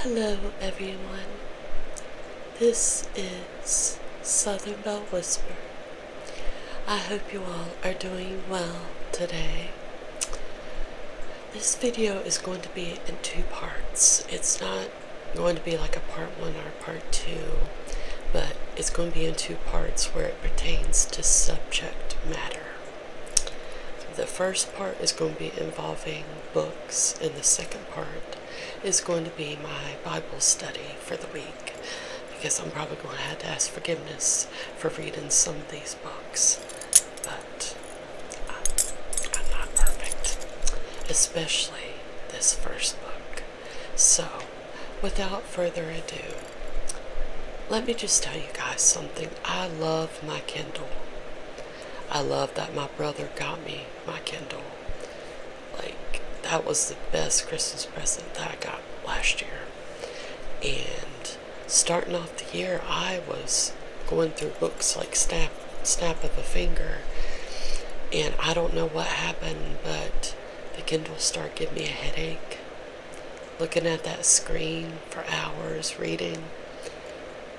Hello, everyone. This is Southern Bell Whisper. I hope you all are doing well today. This video is going to be in two parts. It's not going to be like a part one or part two, but it's going to be in two parts where it pertains to subject matter. The first part is going to be involving books, and the second part is going to be my Bible study for the week. Because I'm probably going to have to ask forgiveness for reading some of these books, but I'm not perfect, especially this first book. So, without further ado, let me just tell you guys something. I love my Kindle. I love that my brother got me my Kindle. Like, that was the best Christmas present that I got last year. And starting off the year, I was going through books like Snap, snap of a Finger. And I don't know what happened, but the Kindle started giving me a headache. Looking at that screen for hours reading.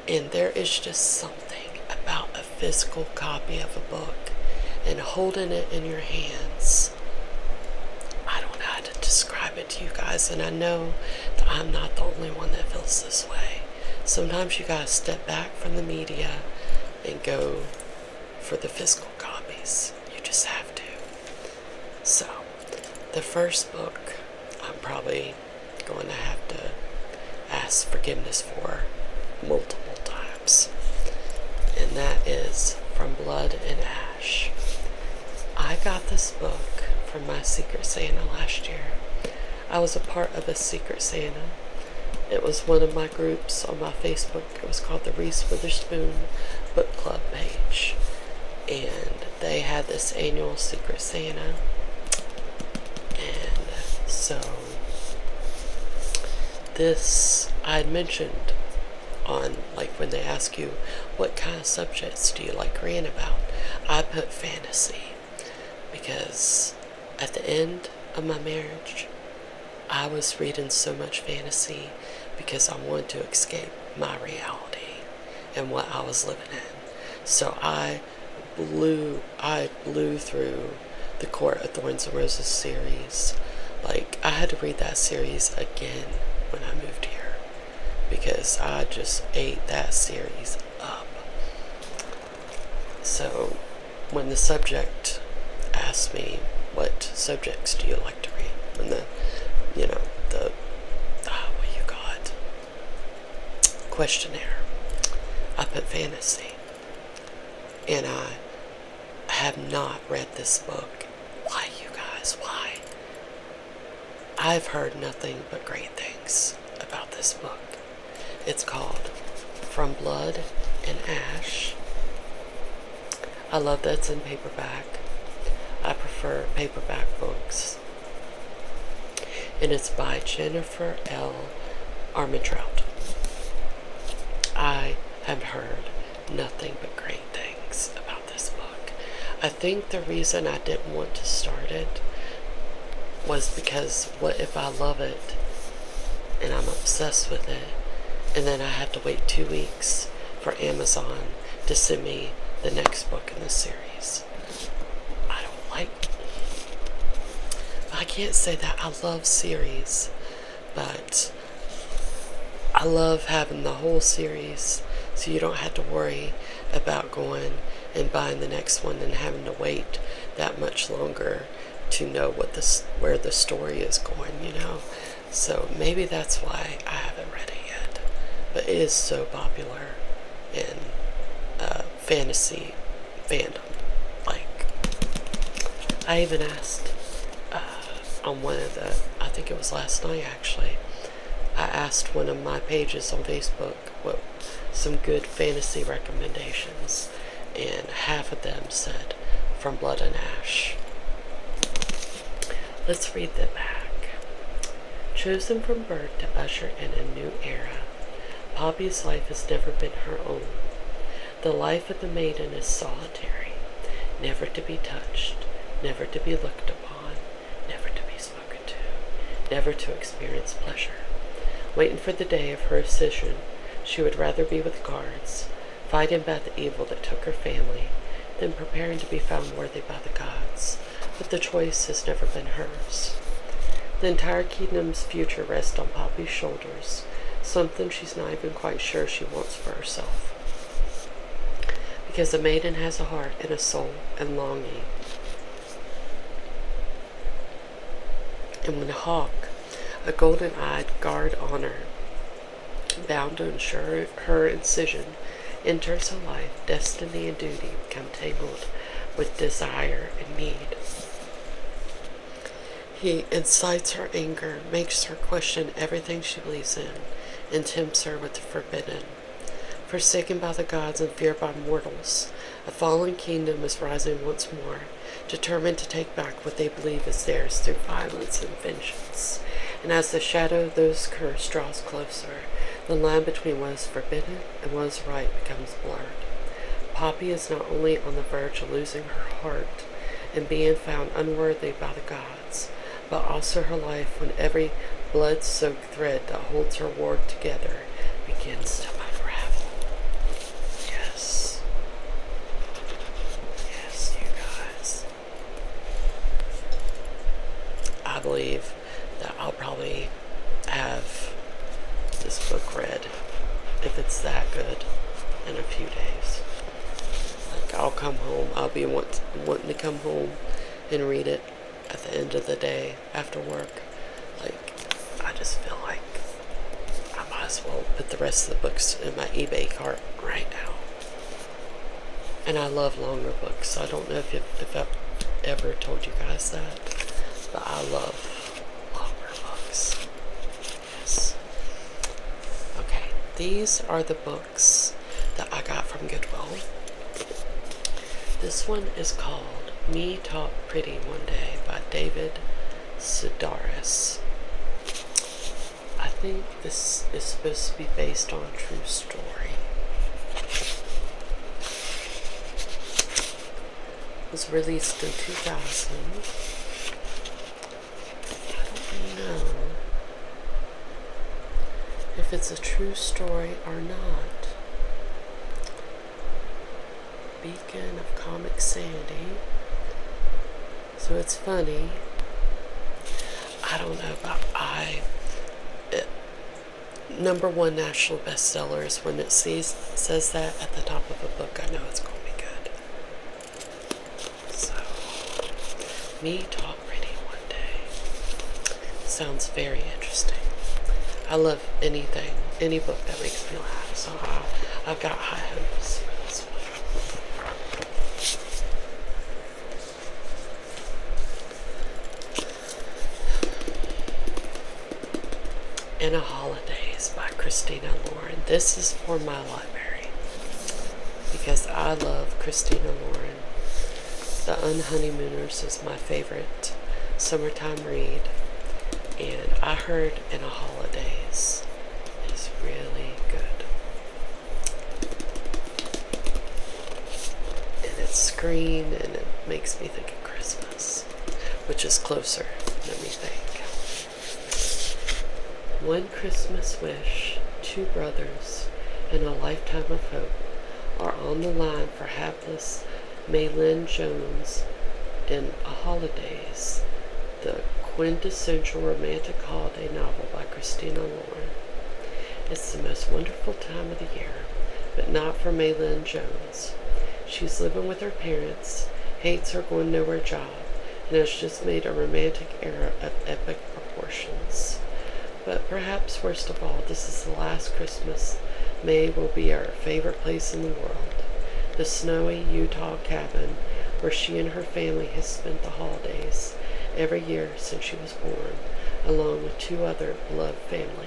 And there is just something about a physical copy of a book and holding it in your hands. I don't know how to describe it to you guys, and I know that I'm not the only one that feels this way. Sometimes you gotta step back from the media and go for the physical copies. You just have to. So, the first book I'm probably going to have to ask forgiveness for multiple times. And that is From Blood and Ash. I got this book from my Secret Santa last year. I was a part of a Secret Santa. It was one of my groups on my Facebook. It was called the Reese Witherspoon Book Club page and they had this annual Secret Santa. And so, this I had mentioned on like when they ask you what kind of subjects do you like reading about, I put fantasy because at the end of my marriage, I was reading so much fantasy because I wanted to escape my reality and what I was living in. So I blew I blew through the Court of Thorns and Roses series. Like I had to read that series again when I moved here because I just ate that series up. So when the subject asked me what subjects do you like to read and the you know the ah, what you got questionnaire up at Fantasy. And I have not read this book. Why, you guys? Why? I've heard nothing but great things about this book. It's called From Blood and Ash. I love that it's in paperback. I prefer paperback books and it's by Jennifer L. Armentrout. I have heard nothing but great things about this book. I think the reason I didn't want to start it was because what if I love it and I'm obsessed with it and then I have to wait two weeks for Amazon to send me the next book in the series. I don't like. I can't say that I love series, but I love having the whole series so you don't have to worry about going and buying the next one and having to wait that much longer to know what this where the story is going, you know. So maybe that's why I haven't read it yet. But it is so popular in uh, fantasy fandom. Like, I even asked uh, on one of the, I think it was last night actually, I asked one of my pages on Facebook what some good fantasy recommendations, and half of them said From Blood and Ash. Let's read them back. Chosen from birth to usher in a new era, Poppy's life has never been her own. The life of the maiden is solitary, never to be touched, never to be looked upon, never to be spoken to, never to experience pleasure. Waiting for the day of her ascension, she would rather be with guards, fighting back the evil that took her family, than preparing to be found worthy by the gods but the choice has never been hers. The entire kingdom's future rests on Poppy's shoulders, something she's not even quite sure she wants for herself. Because a maiden has a heart and a soul and longing. And when a hawk, a golden eyed guard honor, bound to ensure her incision, enters a life, destiny and duty become tangled with desire and need. He incites her anger, makes her question everything she believes in, and tempts her with the forbidden. Forsaken by the gods and feared by mortals, a fallen kingdom is rising once more, determined to take back what they believe is theirs through violence and vengeance. And as the shadow of those cursed draws closer, the line between what is forbidden and what is right becomes blurred. Poppy is not only on the verge of losing her heart and being found unworthy by the gods, but also her life when every blood soaked thread that holds her world together begins to unravel. Yes. Yes, you guys. I believe that I'll probably have this book read if it's that good in a few days. Like I'll come home, I'll be want, wanting to come home and read it at the end of the day after work. Like I just feel like I might as well put the rest of the books in my eBay cart right now. And I love longer books, I don't don't know if, if I've ever told you guys that, but I love Clockwork books. Yes. Okay, these are the books that I got from Goodwill. This one is called Me Talk Pretty One Day by David Sedaris. I think this is supposed to be based on a true story. was released in 2000. I don't know if it's a true story or not. Beacon of Comic Sandy. So it's funny. I don't know, about I number one national bestseller is when it says that at the top of a book. I know it's going to be good. So, me talk pretty one day sounds very interesting. I love anything, any book that makes me laugh. So I've got high hopes. In a Holidays by Christina Lauren. This is for my library because I love Christina Lauren. The Unhoneymooners is my favorite summertime read, and I heard In a Holidays is really good and it's green and it makes me think of Christmas, which is closer, let me think. One Christmas wish, two brothers, and a lifetime of hope are on the line for hapless Maylin Jones in *A Holidays, the quintessential romantic holiday novel by Christina Lord. It's the most wonderful time of the year, but not for Maylin Jones. She's living with her parents, hates her going nowhere job, and has just made a romantic error of epic proportions. But perhaps worst of all, this is the last Christmas May will be our favorite place in the world. The snowy Utah cabin where she and her family have spent the holidays every year since she was born, along with two other beloved family.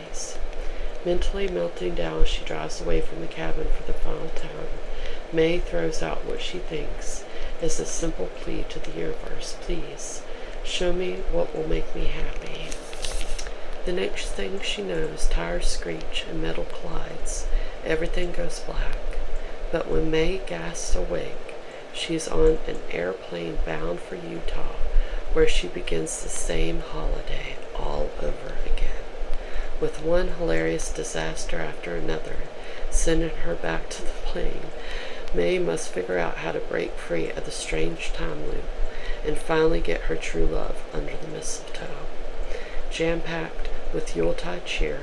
Mentally melting down, she drives away from the cabin for the final time. May throws out what she thinks is a simple plea to the universe please, show me what will make me happy. The next thing she knows, tires screech and metal collides. Everything goes black. But when May gasps awake, she's on an air Plane bound for Utah, where she begins the same holiday all over again, with one hilarious disaster after another sending her back to the plane. May must figure out how to break free of the strange time loop and finally get her true love under the mistletoe. Jam packed with Yuletide cheer,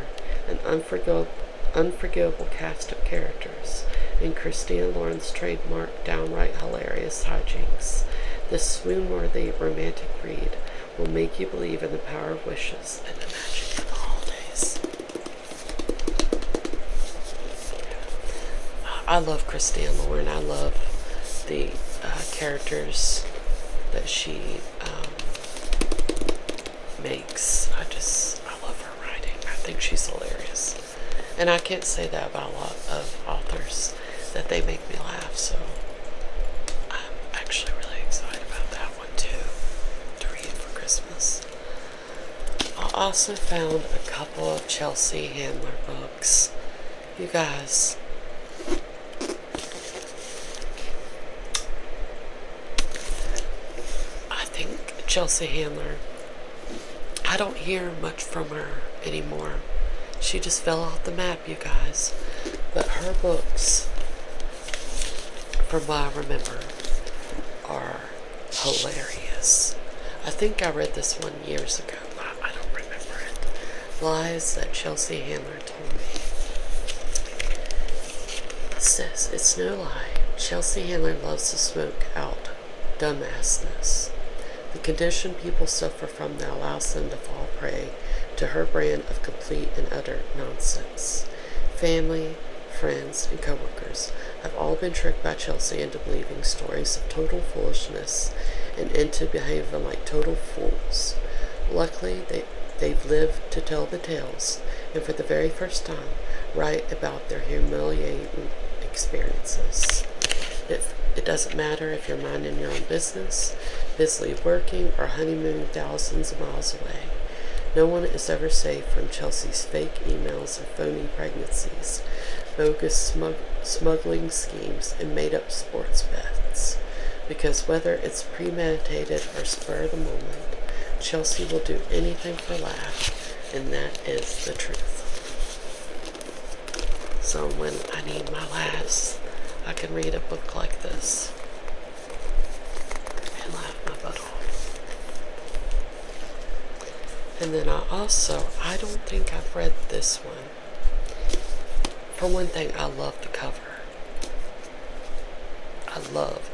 an unforgivable cast of characters characters, and Christie and Lauren's trademark downright hilarious hijinks. This swoon-worthy romantic read will make you believe in the power of wishes and the magic of the holidays. I love Christie and Lauren. I love the uh, characters that she um, makes. I just, I love her writing. I think she's hilarious. And I can't say that about a lot of authors that they make me laugh. So I'm actually really excited about that one too to read for Christmas. I also found a couple of Chelsea Handler books. You guys, I think Chelsea Handler I don't hear much from her anymore. She just fell off the map, you guys. But her books, from what I remember, are hilarious. I think I read this one years ago. I, I don't remember it. Lies that Chelsea Handler told me. says, it's no lie. Chelsea Handler loves to smoke out dumbassness. The condition people suffer from that allows them to fall prey to her brand of complete and utter nonsense. Family, friends, and coworkers have all been tricked by Chelsea into believing stories of total foolishness and into behaving like total fools. Luckily, they, they've lived to tell the tales, and for the very first time, write about their humiliating experiences. it doesn't matter if you're minding your own business, busily working, or honeymooning thousands of miles away. No one is ever safe from Chelsea's fake emails and phony pregnancies, bogus smuggling schemes, and made up sports bets. Because whether it's premeditated or spur of the moment, Chelsea will do anything for laughs, and that is the truth. So when I need my last, I can read a book like this and laugh my butt off. And then I also, I don't think I've read this one. For one thing, I love the cover. I love.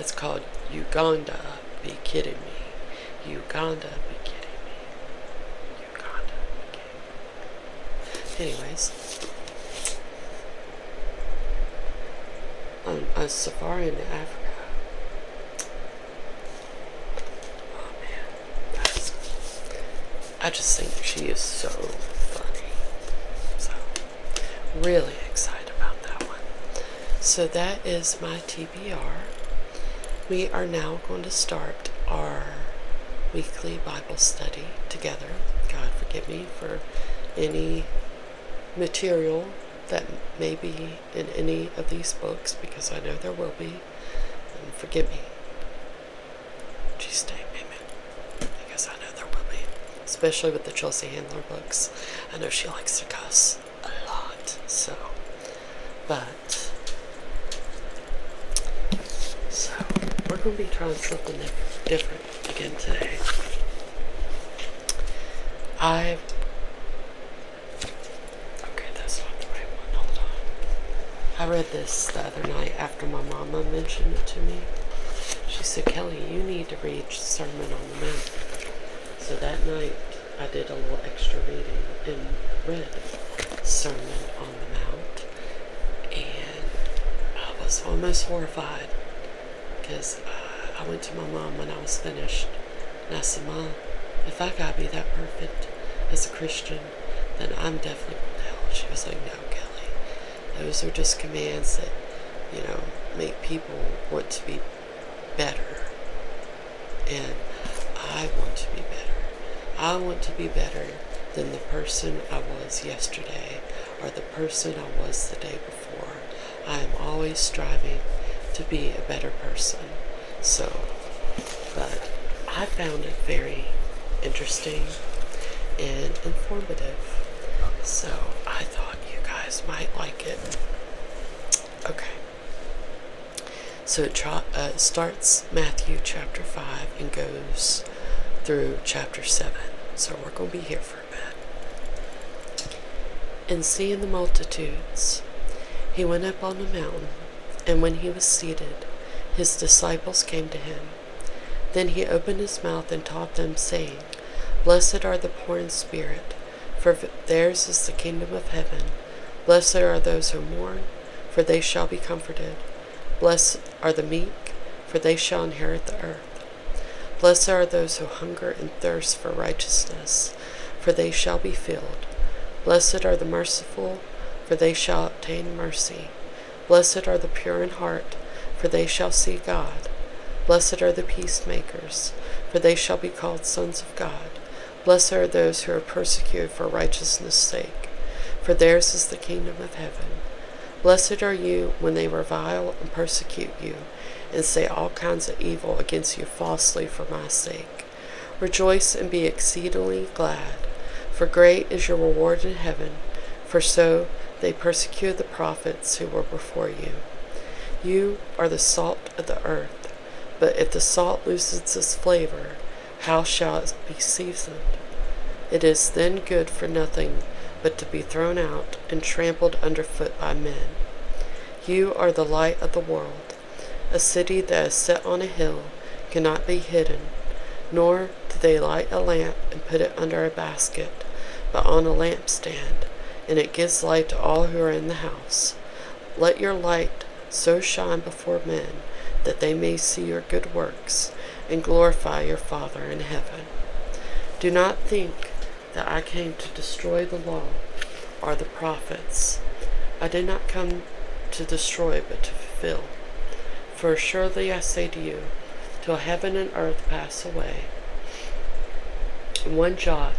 It's called Uganda be kidding me. Uganda be kidding me. Uganda be kidding Anyways. Um, a safari in Africa. Oh man. I just think she is so funny. So really excited about that one. So that is my KBR. We are now going to start our weekly Bible study together. God forgive me for any material that may be in any of these books because I know there will be. And forgive me. Jesus' name, amen. Because I know there will be. Especially with the Chelsea Handler books. I know she likes to cuss a lot. So, but so we're gonna be trying something different again today. i okay, that's not the right one. Hold on. I read this the other night after my mama mentioned it to me. She said, Kelly, you need to read Sermon on the Mount. So that night, I did a little extra reading and read Sermon on the Mount, and I was almost horrified because uh, I, went to my mom when I was finished, and I said, Mom, if I gotta be that perfect as a Christian, then I'm definitely going hell. She was like, No, Kelly, those are just commands that you know make people want to be better. And I want to be better. I want to be better than the person I was yesterday or the person I was the day before. I am always striving to be a better person. So, but I found it very interesting and informative. So I thought you guys might like it. Okay. So uh, it starts Matthew chapter 5 and goes through chapter 7. So we're going to be here for a bit. And seeing the multitudes, he went up on a mountain, and when he was seated, his disciples came to him. Then he opened his mouth and taught them, saying, Blessed are the poor in spirit for theirs is the kingdom of heaven. Blessed are those who mourn, for they shall be comforted. Blessed are the meek, for they shall inherit the earth. Blessed are those who hunger and thirst for righteousness, for they shall be filled. Blessed are the merciful, for they shall obtain mercy. Blessed are the pure in heart, for they shall see God. Blessed are the peacemakers, for they shall be called sons of God. Blessed are those who are persecuted for righteousness' sake, for theirs is the kingdom of heaven. Blessed are you when they revile and persecute you, and say all kinds of evil against you falsely for my sake. Rejoice and be exceedingly glad, for great is your reward in heaven, for so they persecuted the prophets who were before you. You are the salt of the earth. But if the salt loses its flavor, how shall it be seasoned? It is then good for nothing but to be thrown out and trampled underfoot by men. You are the light of the world. A city that is set on a hill cannot be hidden, nor do they light a lamp and put it under a basket, but on a lampstand, and it gives light to all who are in the house. Let your light so shine before men that they may see your good works and glorify your Father in heaven. Do not think that I came to destroy the law or the prophets. I did not come to destroy, but to fulfill. For surely I say to you, till heaven and earth pass away, one jot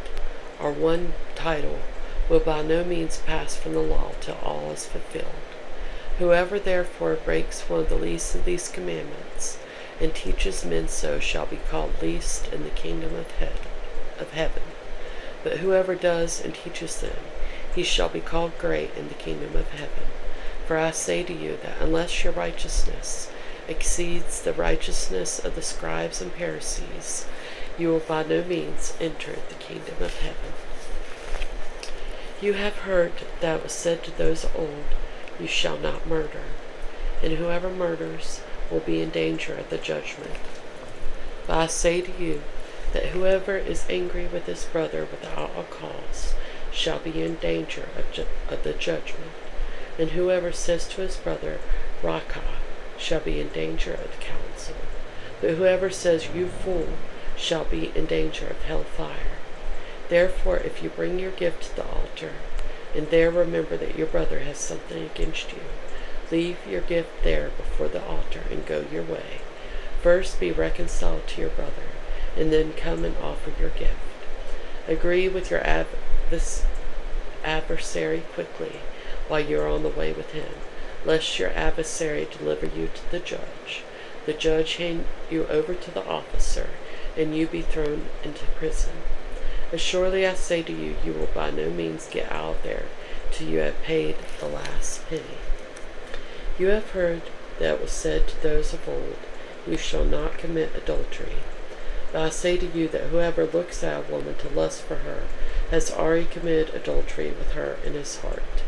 or one title will by no means pass from the law till all is fulfilled. Whoever therefore breaks one of the least of these commandments and teaches men so shall be called least in the kingdom of, he- of heaven. But whoever does and teaches them, he shall be called great in the kingdom of heaven. For I say to you that unless your righteousness exceeds the righteousness of the scribes and Pharisees, you will by no means enter the kingdom of heaven. You have heard that was said to those of old, You shall not murder, and whoever murders will be in danger of the judgment. But I say to you that whoever is angry with his brother without a cause shall be in danger of the judgment, and whoever says to his brother Raca, shall be in danger of the council, but whoever says, You fool, shall be in danger of hell fire. Therefore, if you bring your gift to the altar, and there remember that your brother has something against you, leave your gift there before the altar and go your way. First be reconciled to your brother, and then come and offer your gift. Agree with your adversary quickly while you are on the way with him, lest your adversary deliver you to the judge, the judge hand you over to the officer, and you be thrown into prison. As surely I say to you, you will by no means get out there till you have paid the last penny. You have heard that was said to those of old, You shall not commit adultery. I say to you that whoever looks at a woman to lust for her has already committed adultery with her in his heart.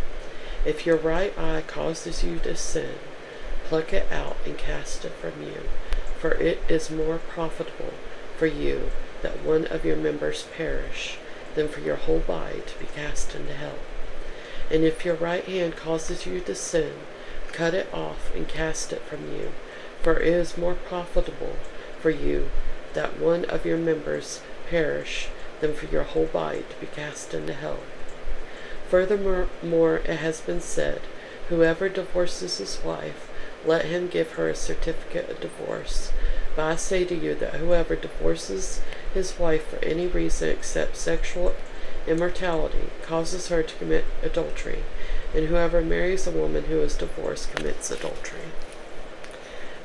If your right eye causes you to sin, pluck it out and cast it from you, for it is more profitable for you that one of your members perish than for your whole body to be cast into hell. And if your right hand causes you to sin, cut it off and cast it from you. For it is more profitable for you that one of your members perish than for your whole body to be cast into hell. Furthermore, it has been said, Whoever divorces his wife, let him give her a certificate of divorce. But I say to you that whoever divorces his wife for any reason except sexual immortality causes her to commit adultery, and whoever marries a woman who is divorced commits adultery country.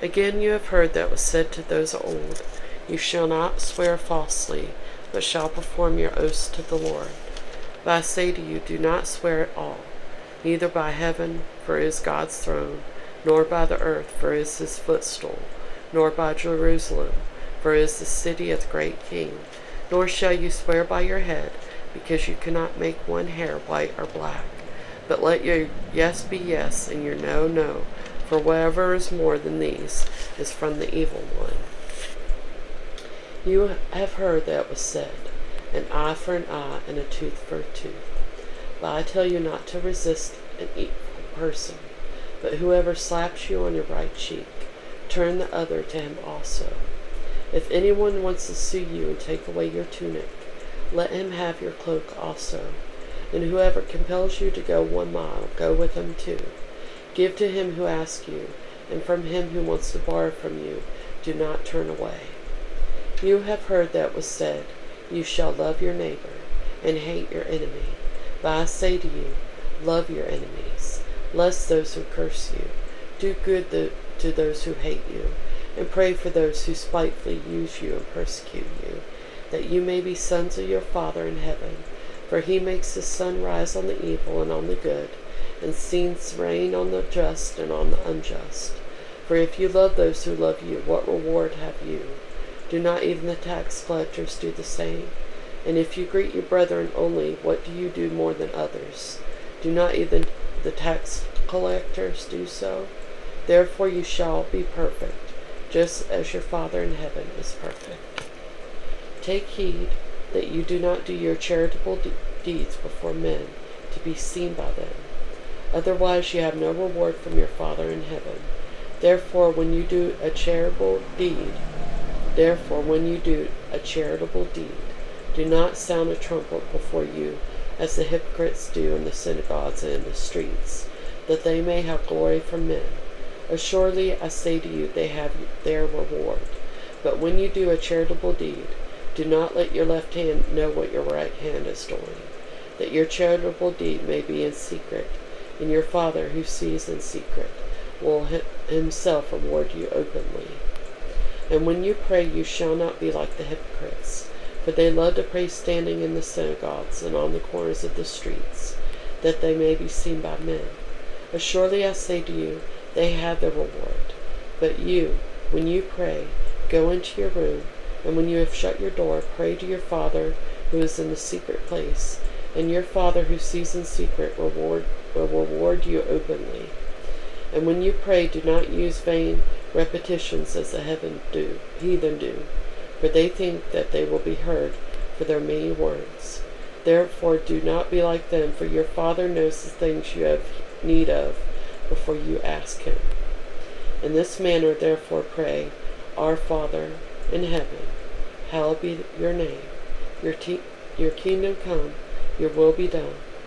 Again, you have heard that was said to those old, You shall not swear falsely, but shall perform your oaths to the Lord. But I say to you, do not swear at all, neither by heaven, for it is God's throne, nor by the earth, for it is his footstool, nor by Jerusalem, for it is the city of the great king. Nor shall you swear by your head, because you cannot make one hair white or black. But let your yes be yes and your no, no, for whatever is more than these is from the evil one. You have heard that was said, an eye for an eye and a tooth for a tooth. But I tell you not to resist an evil person, but whoever slaps you on your right cheek, turn the other to him also. If anyone wants to sue you and take away your tunic. Let him have your cloak also. And whoever compels you to go one mile, go with him too. Give to him who asks you, and from him who wants to borrow from you, do not turn away. You have heard that was said, You shall love your neighbor, and hate your enemy. But I say to you, Love your enemies, bless those who curse you do good to those who hate you, and pray for those who spitefully use you and persecute you, that you may be sons of your Father in heaven. For he makes the sun rise on the evil and on the good, and sends rain on the just and on the unjust. For if you love those who love you, what reward have you? Do not even the tax collectors do the same? And if you greet your brethren only, what do you do more than others? Do not even the tax collectors do so? Therefore you shall be perfect, just as your Father in heaven is perfect. Take heed that you do not do your charitable deeds before men to be seen by them. Otherwise you have no reward from your Father in heaven. Therefore when you do a charitable deed, therefore when you do a charitable deed, do not sound a trumpet before you, as the hypocrites do in the synagogues and in the streets, that they may have glory from men. Assuredly, I say to you, they have their reward. But when you do a charitable deed, do not let your left hand know what your right hand is doing, that your charitable deed may be in secret, and your Father who sees in secret will himself reward you openly publicly. And when you pray, you shall not be like the hypocrites, for they love to pray standing in the synagogues and on the corners of the streets, that they may be seen by men. Assuredly I say to you, they have their reward. But you, when you pray, go into your room, and when you have shut your door, pray to your Father who is in the secret place, and your Father who sees in secret reward, will reward you openly. And when you pray, do not use vain repetitions as the heathen do, for they think that they will be heard for their many words. Therefore, do not be like them, for your Father knows the things you have need of before you ask Him. In this manner, therefore, pray, Our Father in heaven, hallowed be your name, your, te- your kingdom come, your will be done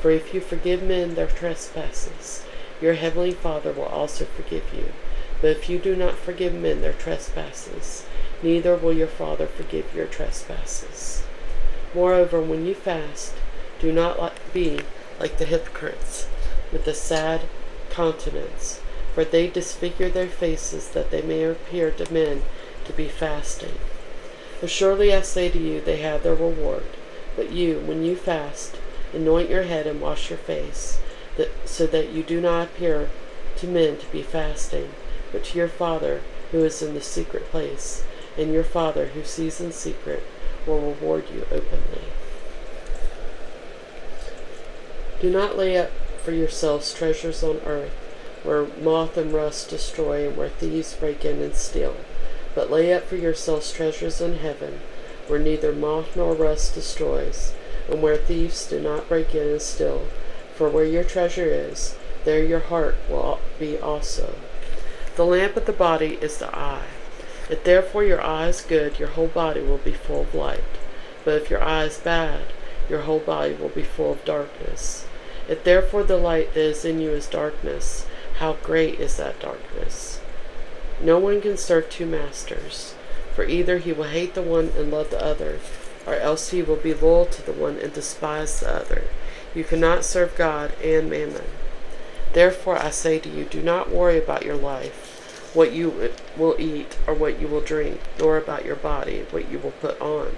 For if you forgive men their trespasses, your heavenly Father will also forgive you. But if you do not forgive men their trespasses, neither will your Father forgive your trespasses. Moreover, when you fast, do not be like the hypocrites, with a sad countenance, for they disfigure their faces that they may appear to men to be fasting. For surely I say to you, they have their reward. But you, when you fast, anoint your head and wash your face, so that you do not appear to men to be fasting, but to your Father who is in the secret place, and your Father who sees in secret will reward you openly. Do not lay up for yourselves treasures on earth, where moth and rust destroy, and where thieves break in and steal but lay up for yourselves treasures in heaven, where neither moth nor rust destroys, and where thieves do not break in and steal. For where your treasure is, there your heart will be also. The lamp of the body is the eye. If therefore your eye is good, your whole body will be full of light. But if your eye is bad, your whole body will be full of darkness. If therefore the light that is in you is darkness, how great is that darkness? No one can serve two masters, for either he will hate the one and love the other, or else he will be loyal to the one and despise the other. You cannot serve God and mammon. Therefore I say to you, do not worry about your life, what you will eat or what you will drink, nor about your body, what you will put on.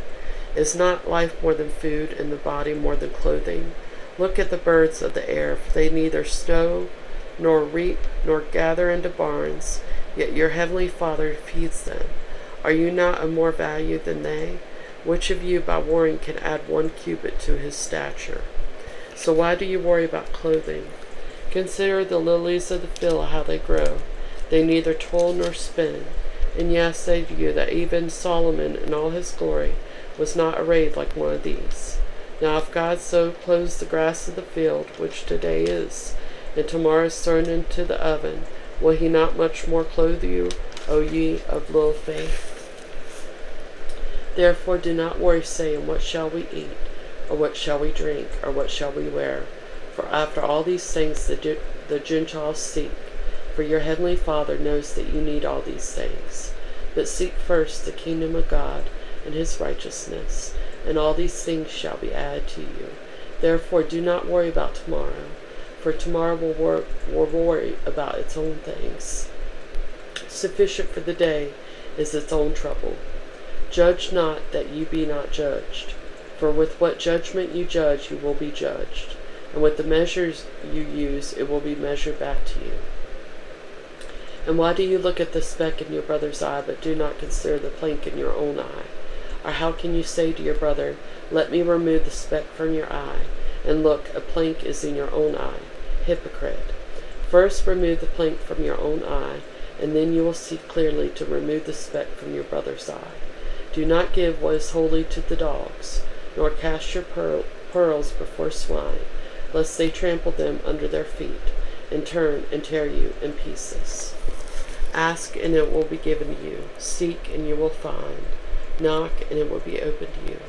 Is not life more than food, and the body more than clothing? Look at the birds of the air, for they neither sow nor reap nor gather into barns, yet your heavenly Father feeds them. Are you not of more value than they? Which of you by warring, can add one cubit to his stature? So why do you worry about clothing? Consider the lilies of the field, how they grow. They neither toil nor spin. And yet I say you that even Solomon in all his glory was not arrayed like one of these. Now if God so clothes the grass of the field, which today is, and tomorrow is thrown into the oven, will he not much more clothe you, O ye of little faith? Therefore do not worry, saying, What shall we eat, or what shall we drink, or what shall we wear? For after all these things the, the Gentiles seek, for your heavenly Father knows that you need all these things. But seek first the kingdom of God and his righteousness, and all these things shall be added to you. Therefore, do not worry about tomorrow, for tomorrow will, worry about its own things. Sufficient for the day is its own trouble. Judge not that you be not judged, for with what judgment you judge, you will be judged, and with the measures you use, it will be measured back to you. And why do you look at the speck in your brother's eye, but do not consider the plank in your own eye? Or how can you say to your brother, Let me remove the speck from your eye, and look, a plank is in your own eye? Hypocrite. First remove the plank from your own eye, and then you will see clearly to remove the speck from your brother's eye. Do not give what is holy to the dog, nor cast your pearls before swine, lest they trample them under their feet, and turn and tear you in pieces. Ask, and it will be given you. Seek, and you will find. Knock, and it will be opened to you.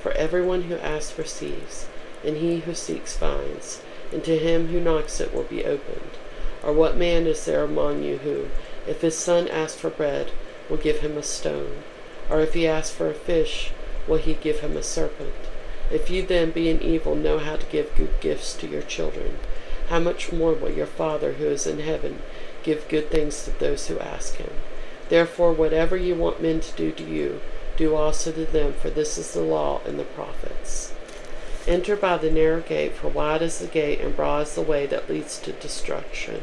For everyone who asks receives, and he who seeks finds, and to him who knocks it will be opened. Or what man is there among you who, if his son asks for bread, will give him a stone? Or if he asks for a fish, will he give him a serpent? If you then, be being evil, know how to give good gifts to your children, how much more will your Father who is in heaven give good things to those who ask him? Therefore, whatever you want men to do to you, do also to them, for this is the law and the prophets. Enter by the narrow gate, for wide is the gate and broad is the way that leads to destruction,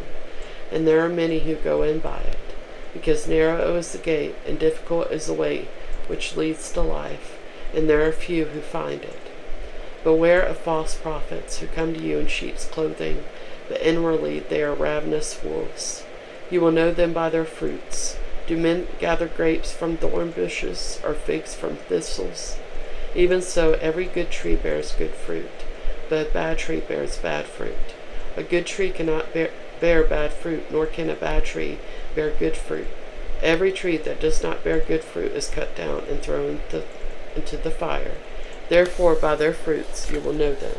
and there are many who go in by it, because narrow is the gate, and difficult is the way which leads to life, and there are few who find it. Beware of false prophets who come to you in sheep's clothing, but inwardly they are ravenous wolves. You will know them by their fruits. Do men gather grapes from thorn bushes, or figs from thistles? Even so, every good tree bears good fruit but a bad tree bears bad fruit. A good tree cannot bear, bad fruit, nor can a bad tree bear good fruit. Every tree that does not bear good fruit is cut down and thrown into, into the fire. Therefore, by their fruits you will know them.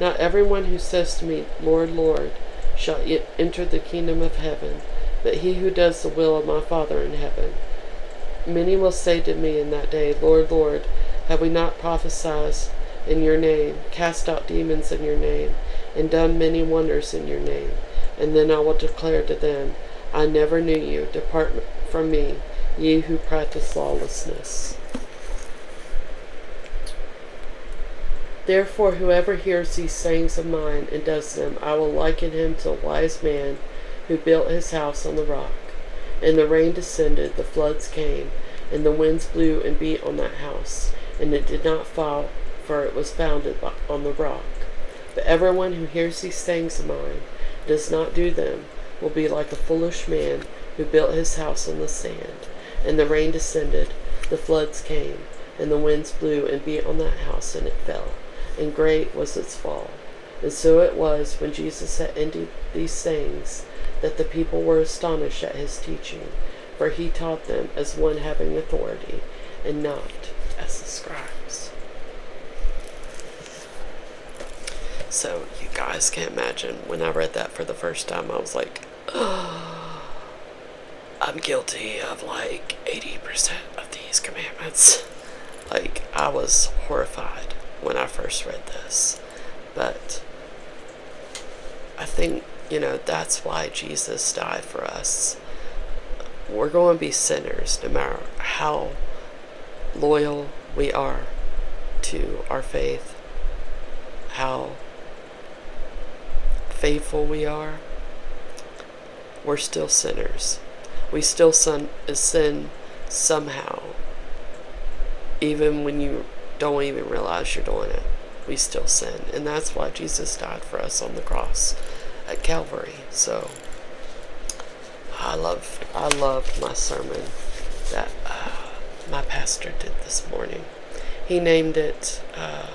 Not everyone who says to me, Lord, Lord, shall enter the kingdom of heaven, but he who does the will of my Father in heaven. Many will say to me in that day, Lord, Lord, have we not prophesied in your name, cast out demons in your name, and done many wonders in your name? And then I will declare to them, I never knew you. Depart from me, ye who practice lawlessness. Therefore, whoever hears these sayings of mine and does them, I will liken him to a wise man who who built his house on the rock. And the rain descended, the floods came, and the winds blew and beat on that house, and it did not fall, for it was founded on the rock. But everyone who hears these things of mine, does not do them, will be like a foolish man who built his house on the sand. And the rain descended, the floods came, and the winds blew and beat on that house, and it fell, and great was its fall. And so it was when Jesus had ended these things that the people were astonished at his teaching, for he taught them as one having authority and not as the scribes. So you guys can't imagine when I read that for the first time, I was like, oh, I'm guilty of like 80% of these commandments. Like, I was horrified when I first read this. But I think, you know, that's why Jesus died for us. We're going to be sinners no matter how loyal we are to our faith, how faithful we are. We're still sinners we still sin, somehow. Even when you don't even realize you're doing it, we still sin. And that's why Jesus died for us on the cross at Calvary. So I love I loved my sermon that uh, my pastor did this morning. He named it uh,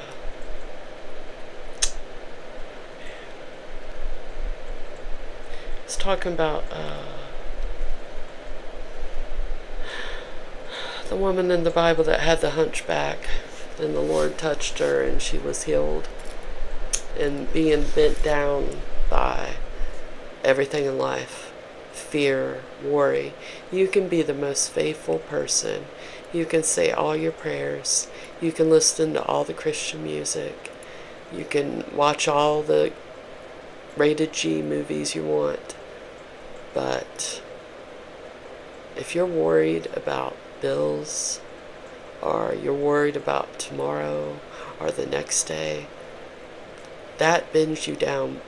it's talking about uh, the woman in the Bible that had the hunchback, and the Lord touched her, and she was healed. And being bent down by everything in life fear, worry. You can be the most faithful person. You can say all your prayers. You can listen to all the Christian music. You can watch all the rated G movies you want, but if you're worried about bills, or you're worried about tomorrow or the next day, that bends you down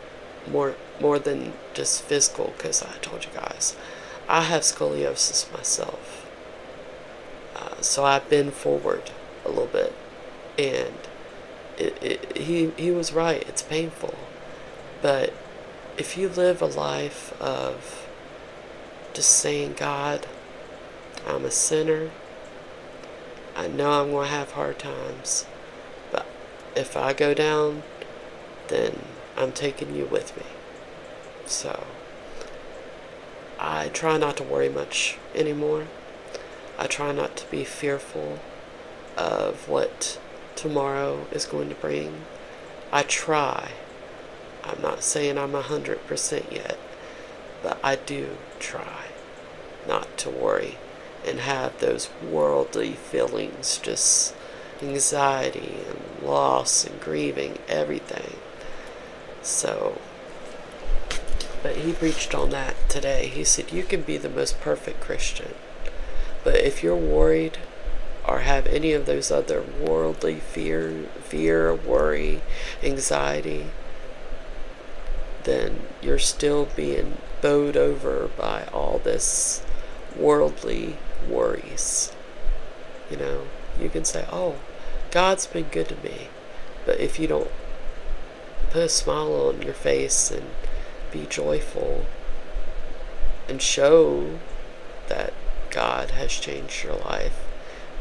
more more than just physical because I told you guys I have scoliosis myself uh, so I bend forward a little bit and he he was right. It's painful, but if you live a life of just saying, God, I'm a sinner. I know I'm going to have hard times, but if I go down, then I'm taking you with me. So I try not to worry much anymore. I try not to be fearful of what tomorrow is going to bring. I try. I'm not saying I'm 100% yet, but I do try not to worry and have those worldly feelings just anxiety and loss and grieving, everything. So but he preached on that today. He said, You can be the most perfect Christian, but if you're worried or have any of those other worldly fear, fear, worry, anxiety, then you're still being bowed over by all this worldly worries. You know, you can say, Oh, God's been good to me. But if you don't Put a smile on your face and be joyful and show that God has changed your life,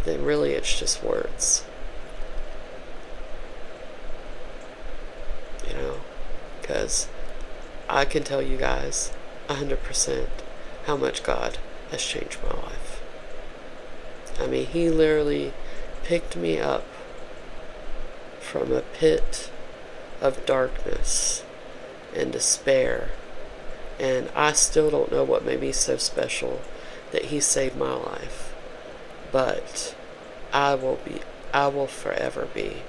then really it's just words. You know, because I can tell you guys a 100% how much God has changed my life. I mean, he literally picked me up from a pit of darkness and despair. And I still don't know what made me so special that he saved my life. But I will be I will forever be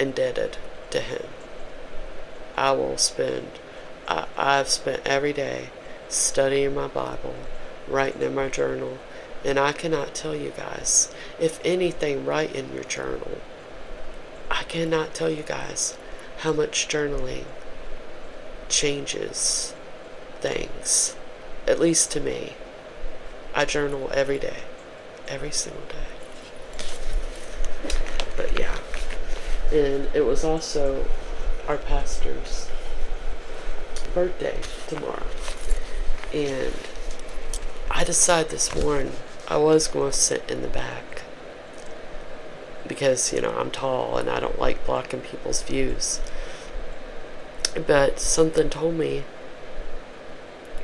indebted to him. I will spend I, I've spent every day studying my Bible, writing in my journal, and I cannot tell you guys. If anything, write in your journal. I cannot tell you guys how much journaling changes things, at least to me. I journal every day, every single day. But yeah, and it was all also our pastor's birthday tomorrow. And I decided this morning I was going to sit in the back because, you know, I'm tall and I don't like blocking people's views. But something told me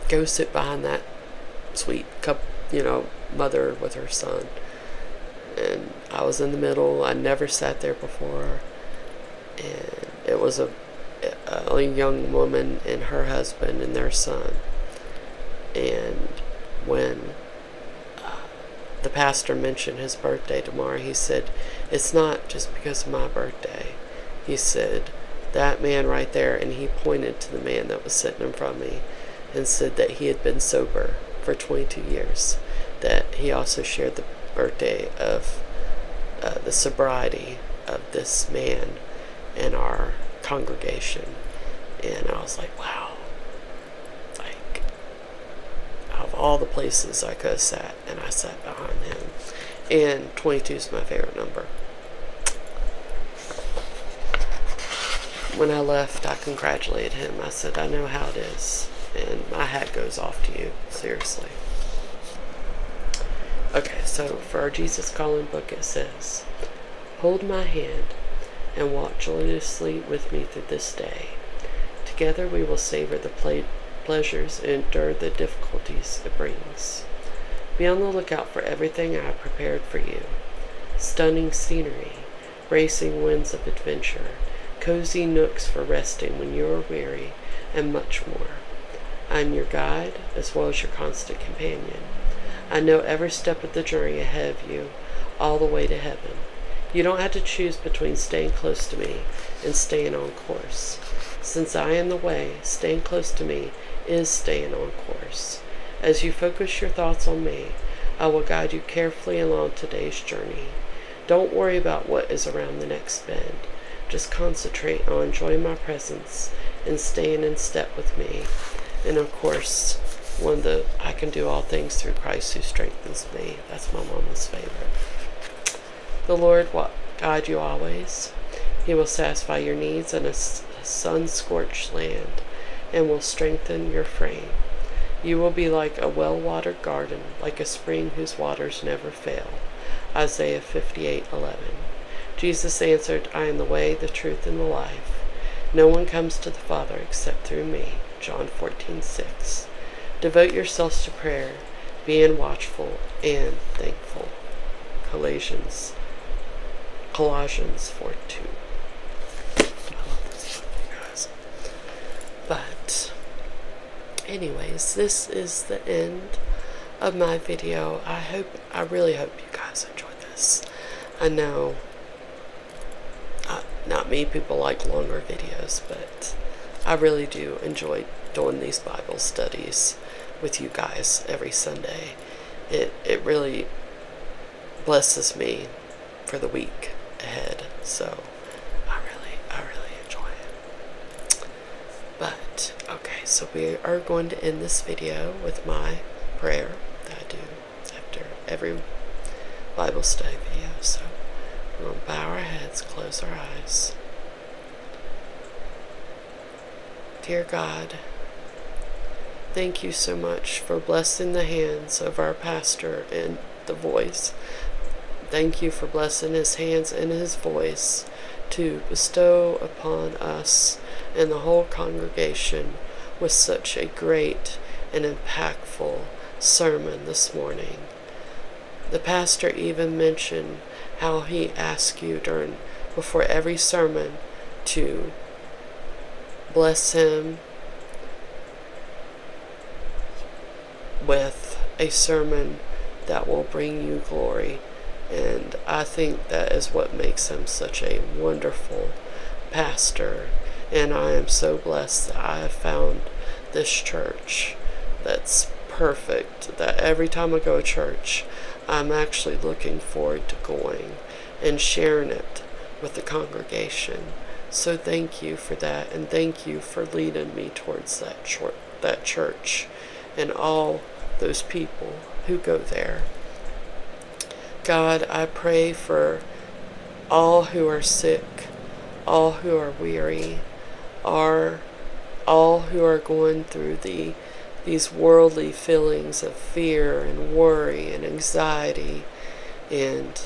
go sit behind that sweet cup, you know, mother with her son. And I was in the middle. I never sat there before, and it was a, a young woman and her husband and their son. And when uh, the pastor mentioned his birthday tomorrow, he said, "It's not just because of my birthday." He said, "That man right there," and he pointed to the man that was sitting in front of me, and said that he had been sober for. 22 years. That he also shared the birthday of uh, the sobriety of this man in our congregation. And I was like, wow. Like, of all the places I could have sat, and I sat behind him. And 22 is my favorite number. When I left, I congratulated him. I said, I know how it is. And my hat goes off to you, seriously. Okay, so for our Jesus Calling book, it says, Hold my hand and walk joyously with me through this day. Together we will savor the pleasures and endure the difficulties it brings. Be on the lookout for everything I have prepared for you stunning scenery, racing winds of adventure, cozy nooks for resting when you are weary, and much more. I am your guide as well as your constant companion. I know every step of the journey ahead of you, all the way to heaven. You don't have to choose between staying close to me and staying on course. Since I am the way, staying close to me is staying on course. As you focus your thoughts on me, I will guide you carefully along today's journey. Don't worry about what is around the next bend. Just concentrate on enjoying my presence and staying in step with me. And of course, when the I can do all things through Christ who strengthens me. That's my mama's favorite. The Lord will guide you always. He will satisfy your needs in a sun scorched land and will strengthen your frame. You will be like a well watered garden, like a spring whose waters never fail. Isaiah 58 11. Jesus answered, I am the way, the truth, and the life. No one comes to the Father except through me. John 14 6. Devote yourselves to prayer, being watchful and thankful. Colossians Colossians 4 2. I love this But anyways this is the end of my video i hope i really hope you guys enjoyed this i know uh, not me. people like longer videos but i really do enjoy doing these bible studies with you guys every sunday it it really blesses me for the week ahead. So I really, I really enjoy it. But okay, so we are going to end this video with my prayer that I do after every Bible study video. So we will bow our heads, close our eyes. Dear God, thank you so much for blessing the hands of our pastor and the voice. Thank you for blessing his hands and his voice to bestow upon us and the whole congregation with such a great and impactful sermon this morning. The pastor even mentioned how he asked you during before every sermon to bless him with a sermon that will bring you glory. And I think that is what makes him such a wonderful pastor. And I am so blessed that I have found this church that's perfect, that every time I go to church, I'm actually looking forward to going and sharing it with the congregation. So thank you for that. And thank you for leading me towards that short, that church and all those people who go there. God, I pray for all who are sick, all who are weary, are all who are going through the these worldly feelings of fear and worry and anxiety and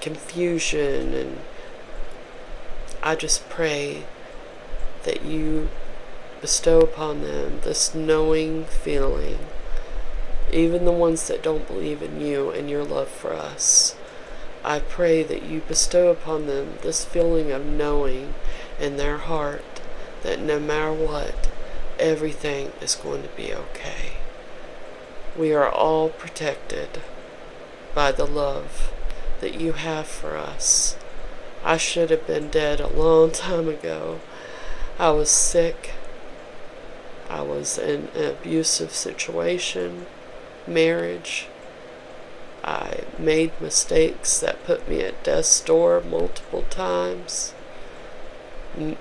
confusion and I just pray that you bestow upon them this knowing feeling, even the ones that don't believe in you and your love for us. I pray that you bestow upon them this feeling of knowing in their heart that no matter what, everything is going to be okay. We are all protected by the love that you have for us. I should have been dead a long time ago. I was sick. I was in an abusive situation, marriage. I made mistakes that put me at death's door multiple times,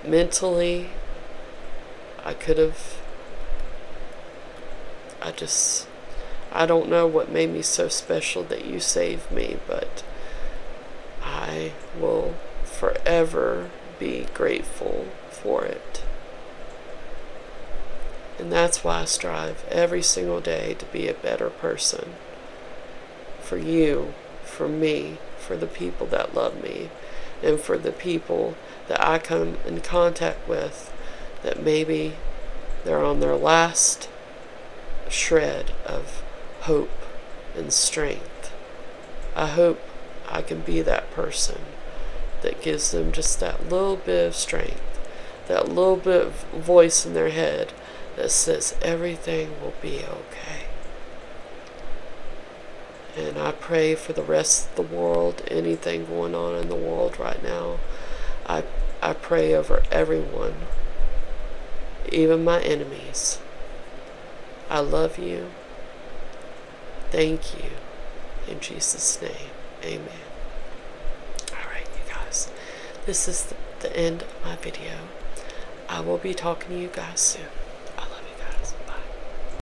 mentally, I could have. I just. I don't know what made me so special that you saved me, but I will forever be grateful for it. And that's why I strive every single day to be a better person for you, for me, for the people that love me, and for the people that I come in contact with that maybe they're on their last shred of hope and strength. I hope I can be that person that gives them just that little bit of strength, that little bit of voice in their head that says everything will be okay. And I pray for the rest of the world, anything going on in the world right now. I, I pray over everyone, even my enemies. I love you. Thank you. In Jesus' name, amen. Alright, you guys. This is the, the end of my video. I will be talking to you guys soon.